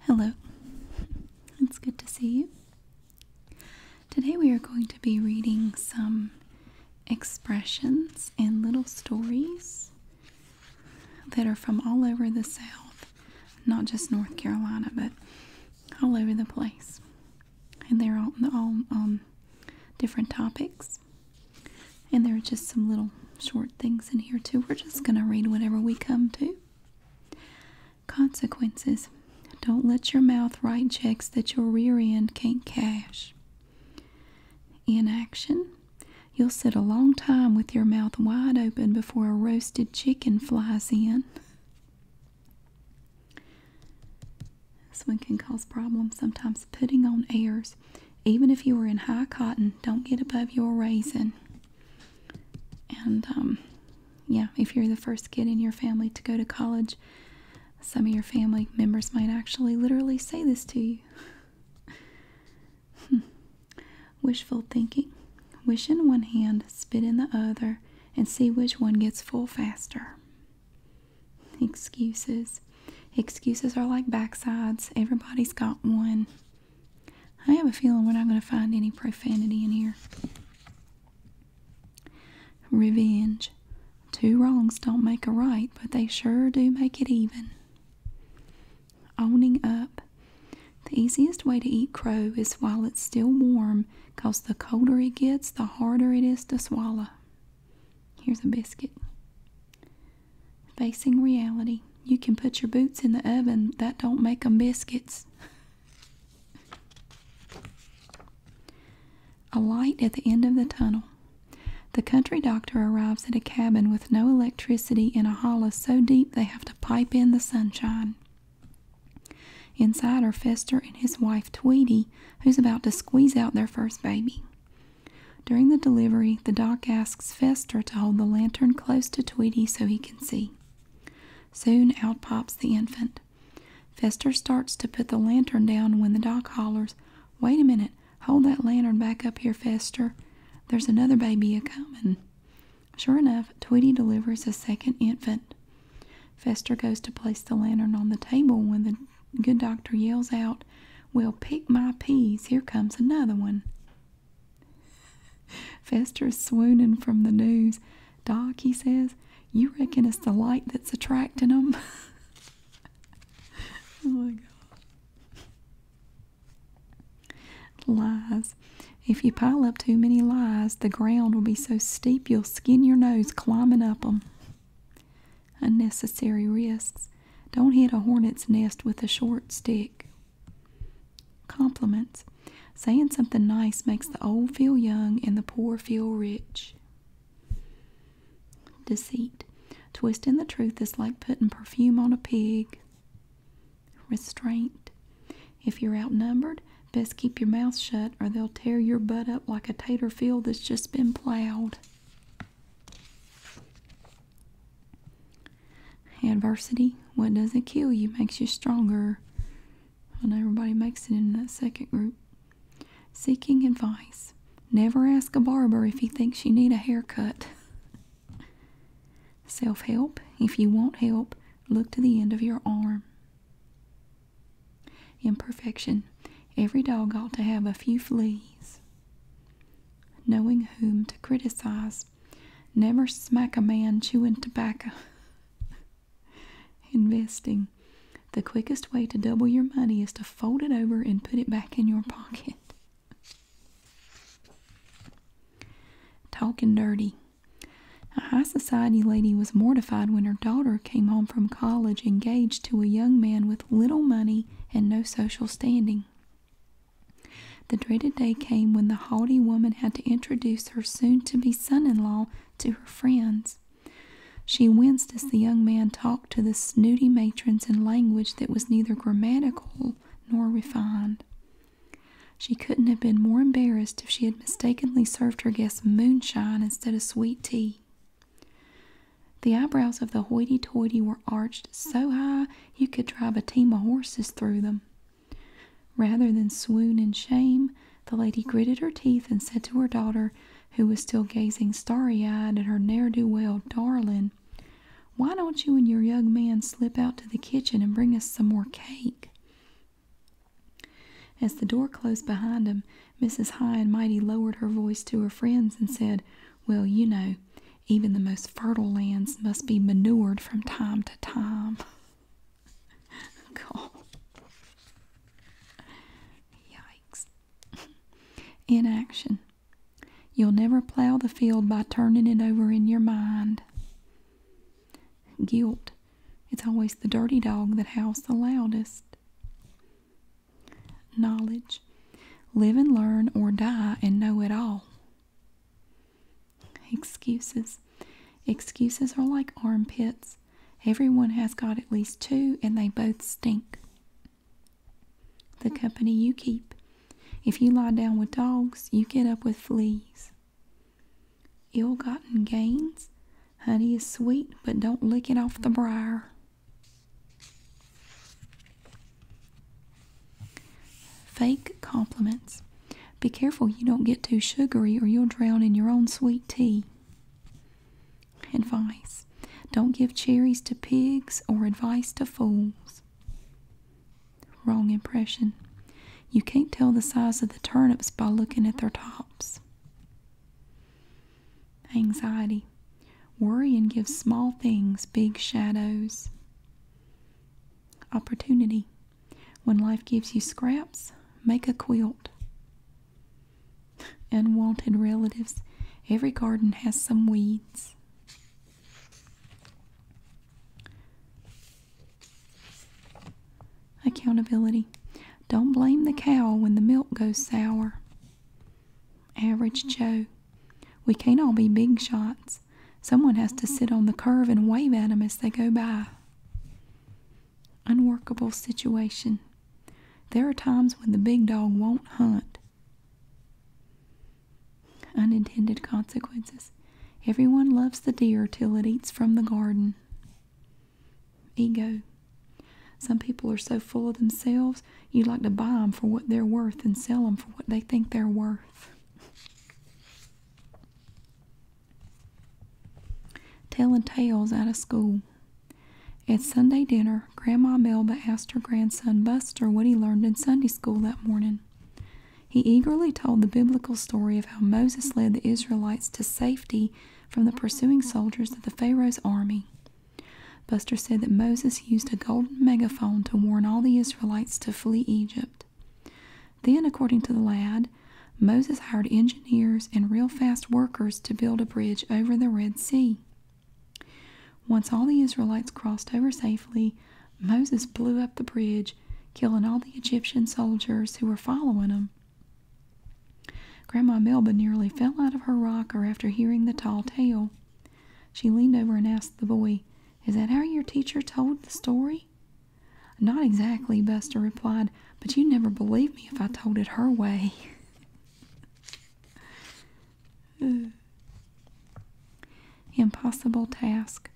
Hello, it's good to see you. Today we are going to be reading some expressions and little stories that are from all over the South, not just North Carolina, but all over the place. And they're all, all on different topics. And there are just some little short things in here, too. We're just going to read whatever we come to. Consequences. Don't let your mouth write checks that your rear end can't cash. Inaction. You'll sit a long time with your mouth wide open before a roasted chicken flies in. This one can cause problems sometimes. Putting on airs even if you were in high cotton, don't get above your raisin. And um, yeah, if you're the first kid in your family to go to college, some of your family members might actually literally say this to you. Hmm. Wishful thinking. Wish in one hand, spit in the other, and see which one gets full faster. Excuses. Excuses are like backsides. Everybody's got one. I have a feeling we're not going to find any profanity in here. Revenge. Two wrongs don't make a right, but they sure do make it even. Owning up. The easiest way to eat crow is while it's still warm, because the colder it gets, the harder it is to swallow. Here's a biscuit. Facing reality. You can put your boots in the oven. That don't 'em them biscuits. A light at the end of the tunnel. The country doctor arrives at a cabin with no electricity in a hollow so deep they have to pipe in the sunshine. Inside are Fester and his wife Tweety, who's about to squeeze out their first baby. During the delivery, the doc asks Fester to hold the lantern close to Tweety so he can see. Soon out pops the infant. Fester starts to put the lantern down when the doc hollers, Wait a minute, hold that lantern back up here, Fester. There's another baby a comin'. Sure enough, Tweety delivers a second infant. Fester goes to place the lantern on the table when the good doctor yells out, Well, pick my peas, here comes another one. Fester is swooning from the news. Doc, he says, you reckon it's the light that's attracting them? oh my God. Lies. If you pile up too many lies, the ground will be so steep you'll skin your nose climbing up them. Unnecessary risks. Don't hit a hornet's nest with a short stick. Compliments. Saying something nice makes the old feel young and the poor feel rich. Deceit. Twisting the truth is like putting perfume on a pig. Restraint. If you're outnumbered, best keep your mouth shut or they'll tear your butt up like a tater field that's just been plowed. Adversity, what doesn't kill you makes you stronger. And everybody makes it in that second group. Seeking advice. Never ask a barber if he thinks you need a haircut. Self help. If you want help, look to the end of your arm. Imperfection. Every dog ought to have a few fleas knowing whom to criticize. Never smack a man chewing tobacco. Investing. The quickest way to double your money is to fold it over and put it back in your pocket. Talking dirty. A high society lady was mortified when her daughter came home from college engaged to a young man with little money and no social standing. The dreaded day came when the haughty woman had to introduce her soon to be son in law to her friends. She winced as the young man talked to the snooty matrons in language that was neither grammatical nor refined. She couldn't have been more embarrassed if she had mistakenly served her guests moonshine instead of sweet tea. The eyebrows of the hoity toity were arched so high you could drive a team of horses through them. Rather than swoon in shame, the lady gritted her teeth and said to her daughter, who was still gazing starry eyed at her ne'er do well darling, Why don't you and your young man slip out to the kitchen and bring us some more cake? As the door closed behind them, Mrs. High and Mighty lowered her voice to her friends and said, Well, you know, even the most fertile lands must be manured from time to time. God. Yikes. Inaction. You'll never plow the field by turning it over in your mind. Guilt. It's always the dirty dog that howls the loudest knowledge. Live and learn or die and know it all. Excuses. Excuses are like armpits. Everyone has got at least two and they both stink. The company you keep. If you lie down with dogs, you get up with fleas. Ill gotten gains. Honey is sweet, but don't lick it off the briar. Fake compliments. Be careful you don't get too sugary or you'll drown in your own sweet tea. Advice. Don't give cherries to pigs or advice to fools. Wrong impression. You can't tell the size of the turnips by looking at their tops. Anxiety. worry, and gives small things big shadows. Opportunity. When life gives you scraps, make a quilt. Unwanted relatives. Every garden has some weeds. Accountability. Don't blame the cow when the milk goes sour. Average Joe. We can't all be big shots. Someone has to sit on the curb and wave at 'em as they go by. Unworkable situation. There are times when the big dog won't hunt. Unintended consequences. Everyone loves the deer till it eats from the garden. Ego. Some people are so full of themselves, you like to buy 'em for what they're worth and sell 'em for what they think they're worth. Telling tales out of school. At Sunday dinner, Grandma Melba asked her grandson Buster what he learned in Sunday school that morning. He eagerly told the biblical story of how Moses led the Israelites to safety from the pursuing soldiers of the Pharaoh's army. Buster said that Moses used a golden megaphone to warn all the Israelites to flee Egypt. Then, according to the lad, Moses hired engineers and real fast workers to build a bridge over the Red Sea. Once all the Israelites crossed over safely, Moses blew up the bridge, killing all the Egyptian soldiers who were following them. Grandma Melba nearly fell out of her rocker after hearing the tall tale. She leaned over and asked the boy, Is that how your teacher told the story? Not exactly, Buster replied, but you'd never believe me if I told it her way. Impossible task.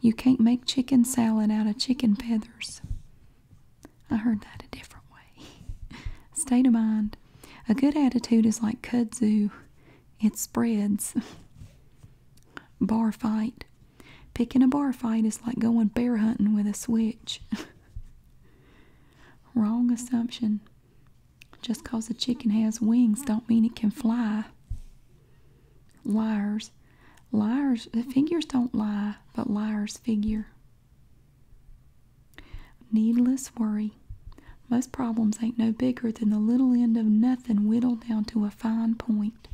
You can't make chicken salad out of chicken feathers. I heard that a different way. State of mind. A good attitude is like kudzu, it spreads. bar fight. Picking a bar fight is like going bear hunting with a switch. Wrong assumption. Just 'cause a chicken has wings don't mean it can fly. Liars. Liars, the figures don't lie, but liars figure. Needless worry. Most problems ain't no bigger than the little end of nothing whittled down to a fine point.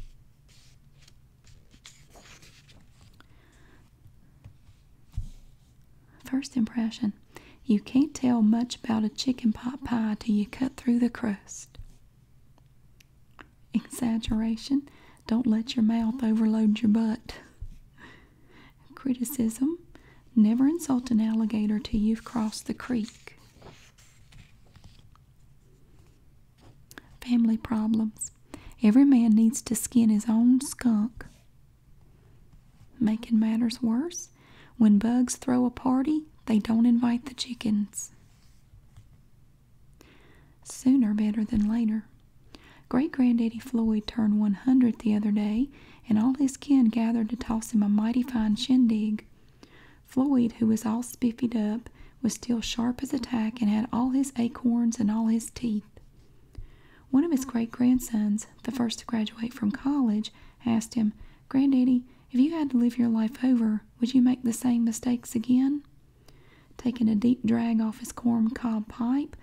First impression. You can't tell much about a chicken pot pie till you cut through the crust. Exaggeration. Don't let your mouth overload your butt. Criticism Never insult an alligator till you've crossed the creek. Family problems Every man needs to skin his own skunk. Making matters worse, when bugs throw a party, they don't invite the chickens. Sooner better than later. Great granddaddy Floyd turned 100 the other day, and all his kin gathered to toss him a mighty fine shindig. Floyd, who was all spiffied up, was still sharp as a tack and had all his acorns and all his teeth. One of his great grandsons, the first to graduate from college, asked him, Granddaddy, if you had to live your life over, would you make the same mistakes again? Taking a deep drag off his corn cob pipe,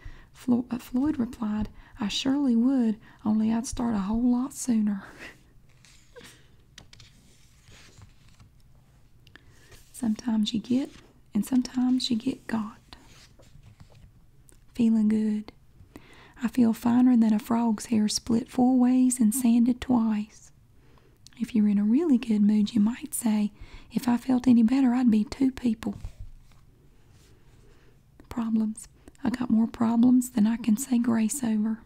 uh, Floyd replied, I surely would, only I'd start a whole lot sooner. sometimes you get, and sometimes you get got. Feeling good. I feel finer than a frog's hair split four ways and sanded twice. If you're in a really good mood, you might say, If I felt any better, I'd be two people. Problems. I got more problems than I can say grace over.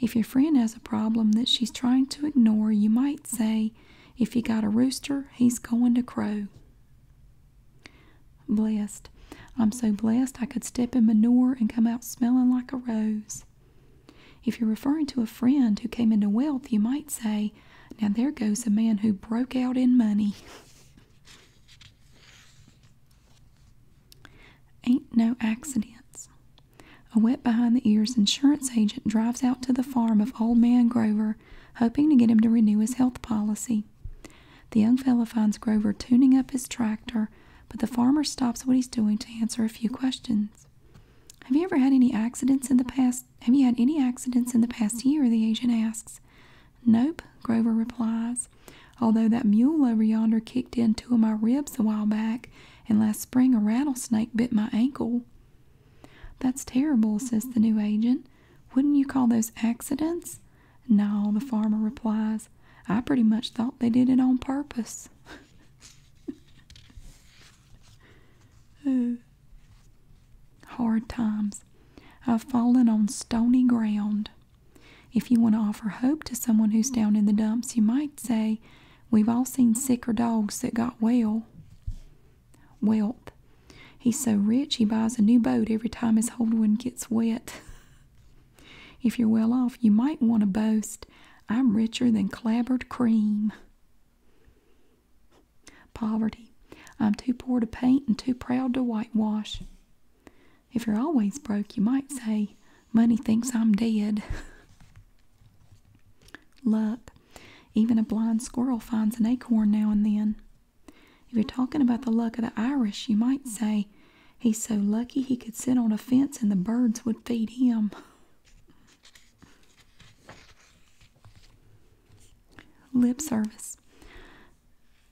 If your friend has a problem that she's trying to ignore, you might say, if you got a rooster, he's going to crow. Blessed. I'm so blessed I could step in manure and come out smelling like a rose. If you're referring to a friend who came into wealth, you might say, Now there goes a man who broke out in money. Ain't no accidents. A wet behind the ears insurance agent drives out to the farm of old man Grover, hoping to get him to renew his health policy. The young fellow finds Grover tuning up his tractor, but the farmer stops what he's doing to answer a few questions. Have you ever had any accidents in the past have you had any accidents in the past year? the agent asks. Nope, Grover replies. Although that mule over yonder kicked in two of my ribs a while back, and last spring a rattlesnake bit my ankle. That's terrible, says the new agent. Wouldn't you call those accidents? No, the farmer replies. I pretty much thought they did it on purpose. hard times. I've fallen on stony ground. If you want to offer hope to someone who's down in the dumps, you might say, We've all seen sicker dogs that got well. Wealth. He's so rich he buys a new boat every time his old one gets wet. if you're well off, you might want to boast, I'm richer than clabbered cream. Poverty. I'm too poor to paint and too proud to whitewash. If you're always broke, you might say, Money thinks I'm dead. Luck. Even a blind squirrel finds an acorn now and then. If you're talking about the luck of the Irish, you might say, He's so lucky he could sit on a fence and the birds would feed him. Lip service.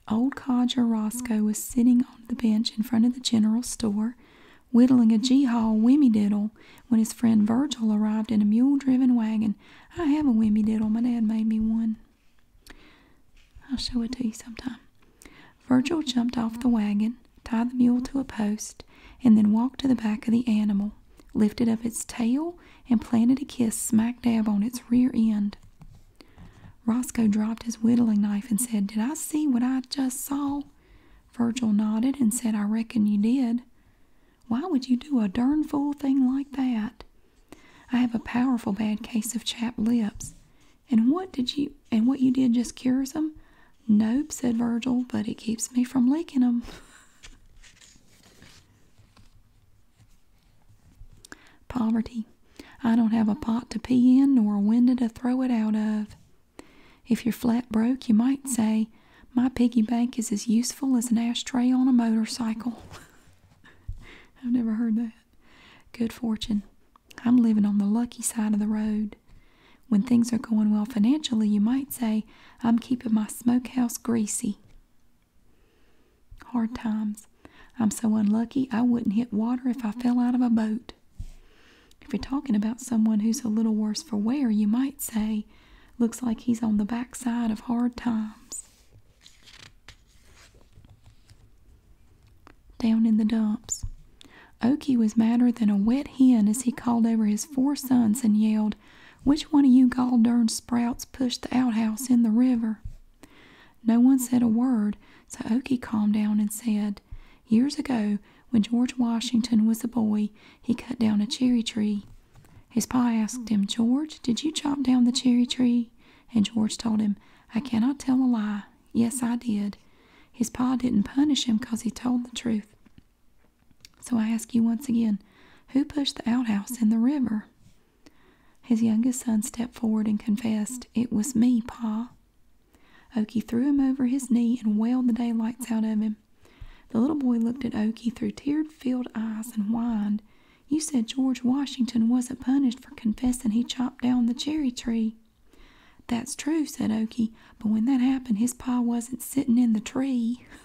Old codger Roscoe was sitting on the bench in front of the general store, whittling a ag haw G-haul whimmy-diddle when his friend Virgil arrived in a mule-driven wagon. I have a whimmy-diddle. My dad made me one. I'll show it to you sometime. Virgil jumped off the wagon, tied the mule to a post, and then walked to the back of the animal lifted up its tail, and planted a kiss smack dab on its rear end. Roscoe dropped his whittling knife and said, Did I see what I just saw? Virgil nodded and said, I reckon you did. Why would you do a dern fool thing like that? I have a powerful bad case of chapped lips. And what did you and what you did just cures them? Nope, said Virgil, but it keeps me from licking them. Poverty. I don't have a pot to pee in nor a window to throw it out of. If you're flat broke, you might say, My piggy bank is as useful as an ashtray on a motorcycle. I've never heard that. Good fortune. I'm living on the lucky side of the road. When things are going well financially, you might say, I'm keeping my smokehouse greasy. Hard times. I'm so unlucky I wouldn't hit water if I mm-hmm. fell out of a boat. If you're talking about someone who's a little worse for wear, you might say, looks like he's on the backside of hard times. Down in the dumps. Oki was madder than a wet hen as he called over his four sons and yelled, which one of you gall darned sprouts pushed the outhouse in the river? No one said a word, so Okie calmed down and said, Years ago, when George Washington was a boy, he cut down a cherry tree. His pa asked him, 'George, did you chop down the cherry tree? And George told him, 'I cannot tell a lie. Yes, I did. His pa didn't punish him 'cause he told the truth. So I ask you once again, who pushed the outhouse in the river? His youngest son stepped forward and confessed, It was me, Pa. Oki threw him over his knee and wailed the daylights out of him. The little boy looked at Oki through tear filled eyes and whined, You said George Washington wasn't punished for confessing he chopped down the cherry tree. That's true, said Oki, but when that happened, his pa wasn't sitting in the tree.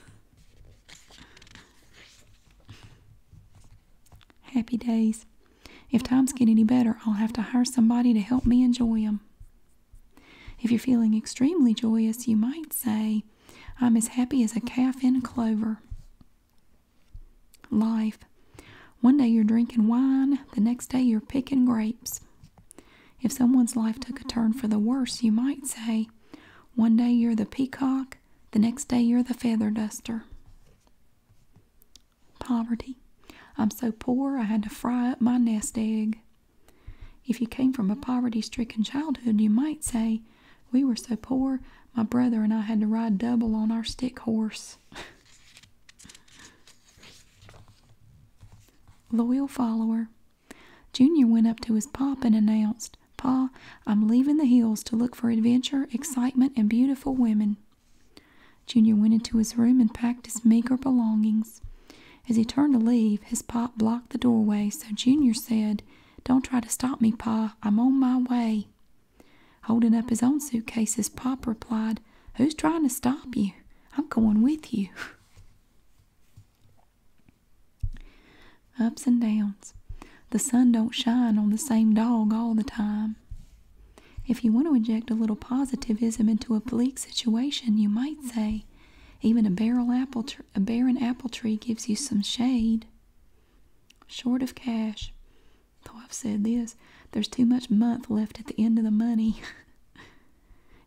Happy days. If times get any better, I'll have to hire somebody to help me enjoy 'em. If you're feeling extremely joyous, you might say, I'm as happy as a calf in clover. Life. One day you're drinking wine, the next day you're picking grapes. If someone's life took a turn for the worse, you might say, one day you're the peacock, the next day you're the feather duster. Poverty. I'm so poor I had to fry up my nest egg. If you came from a poverty stricken childhood, you might say, We were so poor, my brother and I had to ride double on our stick horse. Loyal follower. Junior went up to his pop and announced, Pa, I'm leaving the hills to look for adventure, excitement, and beautiful women. Junior went into his room and packed his meager belongings. As he turned to leave, his pop blocked the doorway, so Junior said, Don't try to stop me, Pa. I'm on my way. Holding up his own suitcase, his pop replied, Who's trying to stop you? I'm going with you. Ups and downs. The sun don't shine on the same dog all the time. If you want to inject a little positivism into a bleak situation, you might say, even a barren apple tree gives you some shade. Short of cash. Though I've said this, there's too much month left at the end of the money.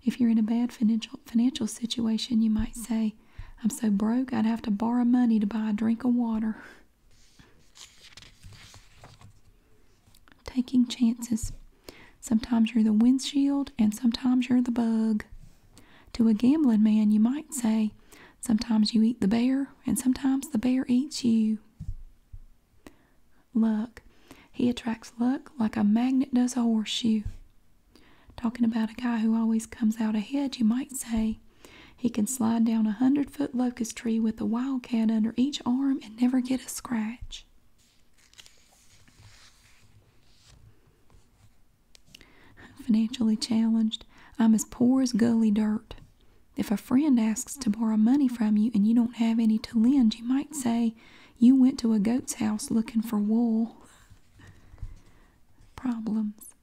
If you're in a bad financial financial situation, you might say, I'm so broke I'd have to borrow money to buy a drink of water. Taking chances. Sometimes you're the windshield and sometimes you're the bug. To a gambling man, you might say, Sometimes you eat the bear and sometimes the bear eats you. Luck. He attracts luck like a magnet does a horseshoe. Talking about a guy who always comes out ahead, you might say he can slide down a hundred foot locust tree with a wildcat under each arm and never get a scratch. financially challenged. I'm as poor as gully dirt. If a friend asks to borrow money from you and you don't have any to lend, you might say you went to a goat's house looking for wool. Problems.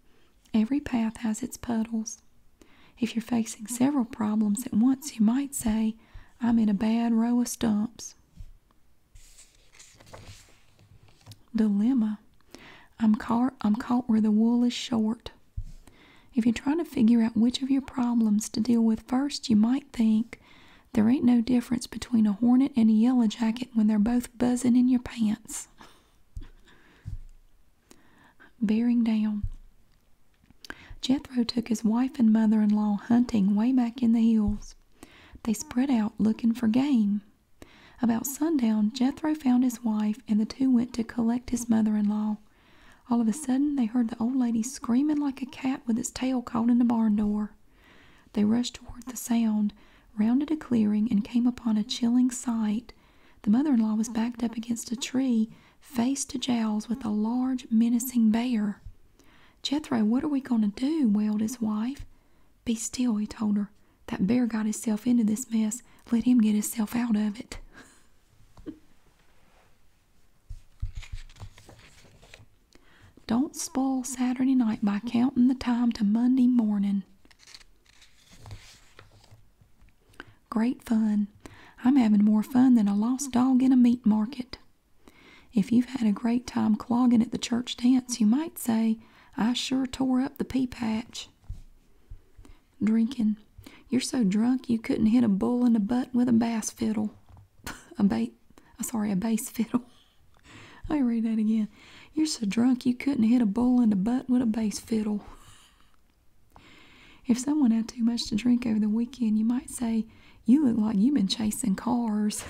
Every path has its puddles. If you're facing several problems at once, you might say, I'm in a bad row of stumps. Dilemma. I'm caught, I'm caught where the wool is short. If you're trying to figure out which of your problems to deal with first, you might think, there ain't no difference between a hornet and a yellow jacket when they're both buzzin' in your pants. Bearing down. Jethro took his wife and mother in law hunting way back in the hills. They spread out looking for game. About sundown, Jethro found his wife, and the two went to collect his mother in law. All of a sudden, they heard the old lady screaming like a cat with its tail caught in the barn door. They rushed toward the sound, rounded a clearing, and came upon a chilling sight. The mother in law was backed up against a tree, face to jowls, with a large, menacing bear. Jethro, what are we going to do? wailed his wife. Be still, he told her. That bear got himself into this mess. Let him get himself out of it. Don't spoil Saturday night by counting the time to Monday morning. Great fun. I'm having more fun than a lost dog in a meat market. If you've had a great time clogging at the church dance, you might say, I sure tore up the pea patch. Drinking. You're so drunk you couldn't hit a bull in the butt with a bass fiddle. a bait, sorry, a bass fiddle. I read that again. You're so drunk you couldn't hit a bull in the butt with a bass fiddle. If someone had too much to drink over the weekend, you might say, You look like you've been chasing cars.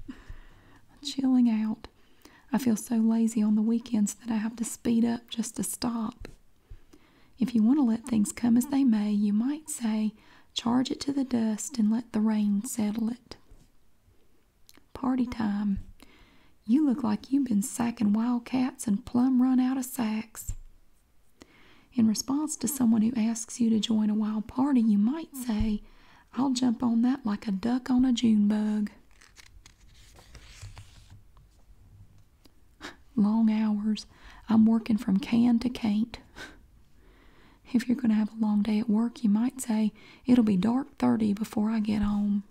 Chilling out. I feel so lazy on the weekends that I have to speed up just to stop. If you want to let things come as they may, you might say, Charge it to the dust and let the rain settle it. Party time. You look like you've been sacking wildcats and plumb run out of sacks. In response to someone who asks you to join a wild party, you might say, I'll jump on that like a duck on a June bug. Long hours. I'm working from can to can't. If you're going to have a long day at work, you might say, It'll be dark 30 before I get home.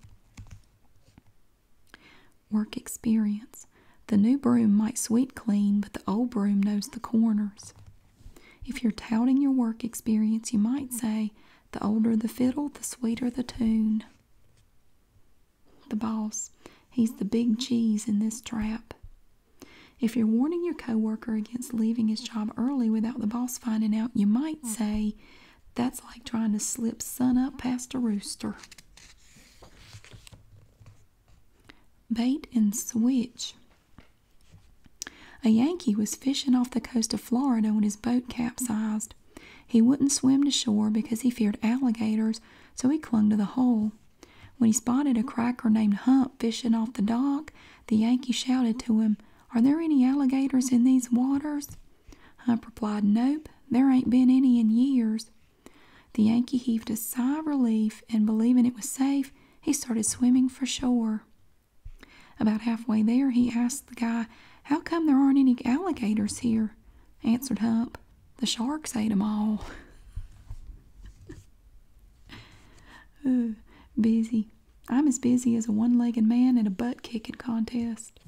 Work experience. The new broom might sweep clean, but the old broom knows the corners. If you're touting your work experience, you might say, The older the fiddle, the sweeter the tune. The boss. He's the big cheese in this trap. If you're warning your coworker against leaving his job early without the boss finding out, you might say that's like trying to slip sun up past a rooster. Bait and switch. A Yankee was fishing off the coast of Florida when his boat capsized. He wouldn't swim to shore because he feared alligators, so he clung to the hole. When he spotted a cracker named Hump fishing off the dock, the Yankee shouted to him, Are there any alligators in these waters? Hump replied, Nope, there ain't been any in years. The Yankee heaved a sigh of relief and, believing it was safe, he started swimming for shore. About halfway there, he asked the guy, How come there aren't any alligators here? Answered Hump, The sharks ate 'em all. busy. I'm as busy as a one legged man in a butt kicking contest.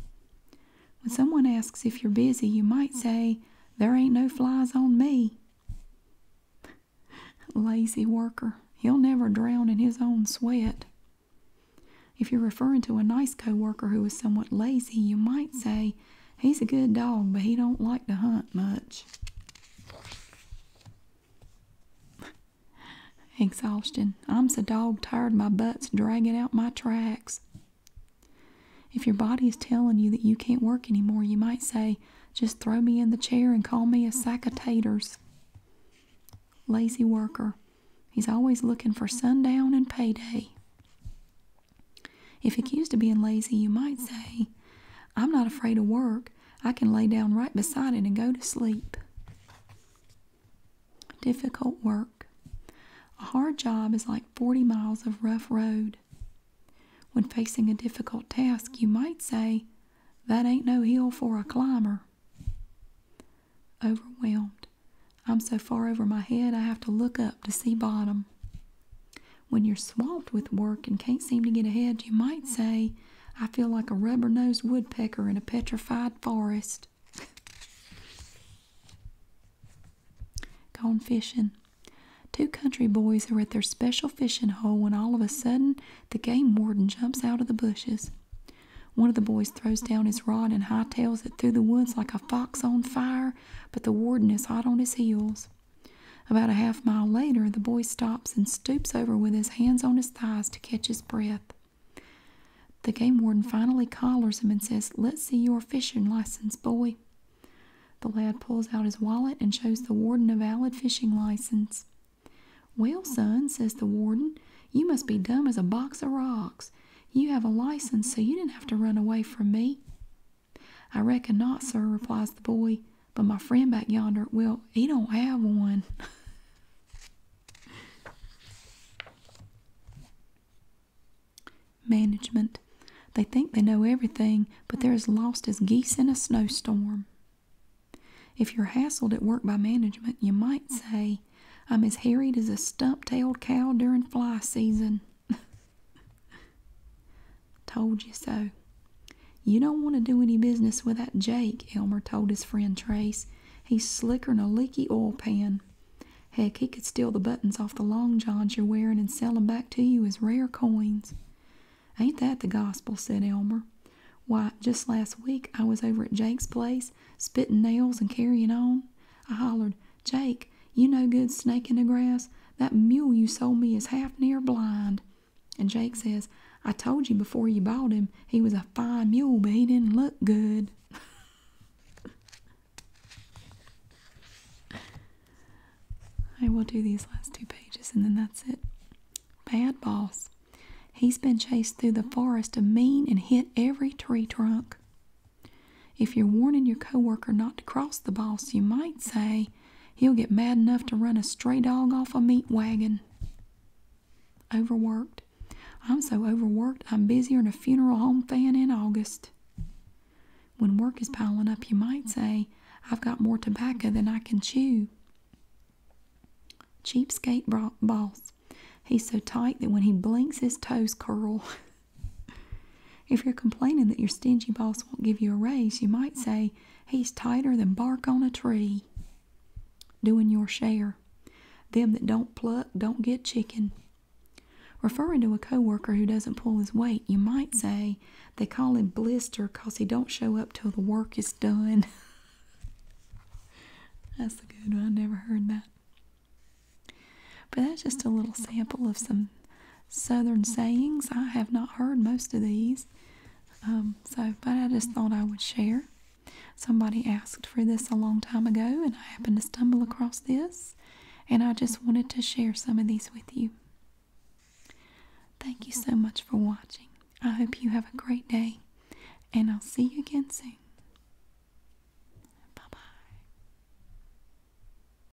When someone asks if you're busy, you might say, There ain't no flies on me. Lazy worker. He'll never drown in his own sweat. If you're referring to a nice co-worker who who is somewhat lazy, you might say, He's a good dog, but he don't like to hunt much. Exhaustion. I'm so dog tired my butt's dragging out my tracks. If your body is telling you that you can't work anymore, you might say, just throw me in the chair and call me a sack of taters. Lazy worker. He's always looking for sundown and payday. If accused of being lazy, you might say, I'm not afraid of work. I can lay down right beside it and go to sleep. Difficult work. A hard job is like 40 miles of rough road. When facing a difficult task, you might say, That ain't no hill for a climber. Overwhelmed. I'm so far over my head I have to look up to see bottom. When you're swamped with work and can't seem to get ahead, you might say, I feel like a rubber nosed woodpecker in a petrified forest. Gone fishing. Two country boys are at their special fishing hole when all of a sudden the game warden jumps out of the bushes. One of the boys throws down his rod and hightails it through the woods like a fox on fire, but the warden is hot on his heels. About a half mile later, the boy stops and stoops over with his hands on his thighs to catch his breath. The game warden finally collars him and says, Let's see your fishing license, boy. The lad pulls out his wallet and shows the warden a valid fishing license. Well, son, says the warden, you must be dumb as a box of rocks. You have a license, so you didn't have to run away from me. I reckon not, sir, replies the boy, but my friend back yonder, well, he don't have one. Management. They think they know everything, but they're as lost as geese in a snowstorm. If you're hassled at work by management, you might say, I'm as harried as a stump tailed cow during fly season. Told you so. You don't want to do any business without Jake, Elmer told his friend Trace. He's slicker'n a leaky oil pan. Heck, he could steal the buttons off the long johns you're wearin' and sell 'em back to you as rare coins. Ain't that the gospel, said Elmer. Why, just last week I was over at Jake's place, spittin' nails and carryin' on. I hollered, Jake, you no good snake in the grass. That mule you sold me is half near blind. And Jake says, I told you before you bought him he was a fine mule, but he didn't look good. I will do these last two pages and then that's it. Bad boss. He's been chased through the forest of mean and hit every tree trunk. If you're warning your coworker not to cross the boss, you might say, He'll get mad enough to run a stray dog off a meat wagon. Overworked. I'm so overworked, I'm busier than a funeral home fan in August. When work is piling up, you might say, I've got more tobacco than I can chew. Cheapskate boss. He's so tight that when he blinks, his toes curl. If you're complaining that your stingy boss won't give you a raise, you might say, He's tighter than bark on a tree. Doing your share. Them that don't pluck don't get chicken. Referring to a co-worker who doesn't pull his weight, you might say, They call him Blister because he don't show up till the work is done. that's a good one. I never heard that. But that's just a little sample of some Southern sayings. I have not heard most of these. Um, so, but I just thought I would share. Somebody asked for this a long time ago, and I happened to stumble across this, and I just wanted to share some of these with you. Thank you so much for watching. I hope you have a great day, and I'll see you again soon. Bye bye.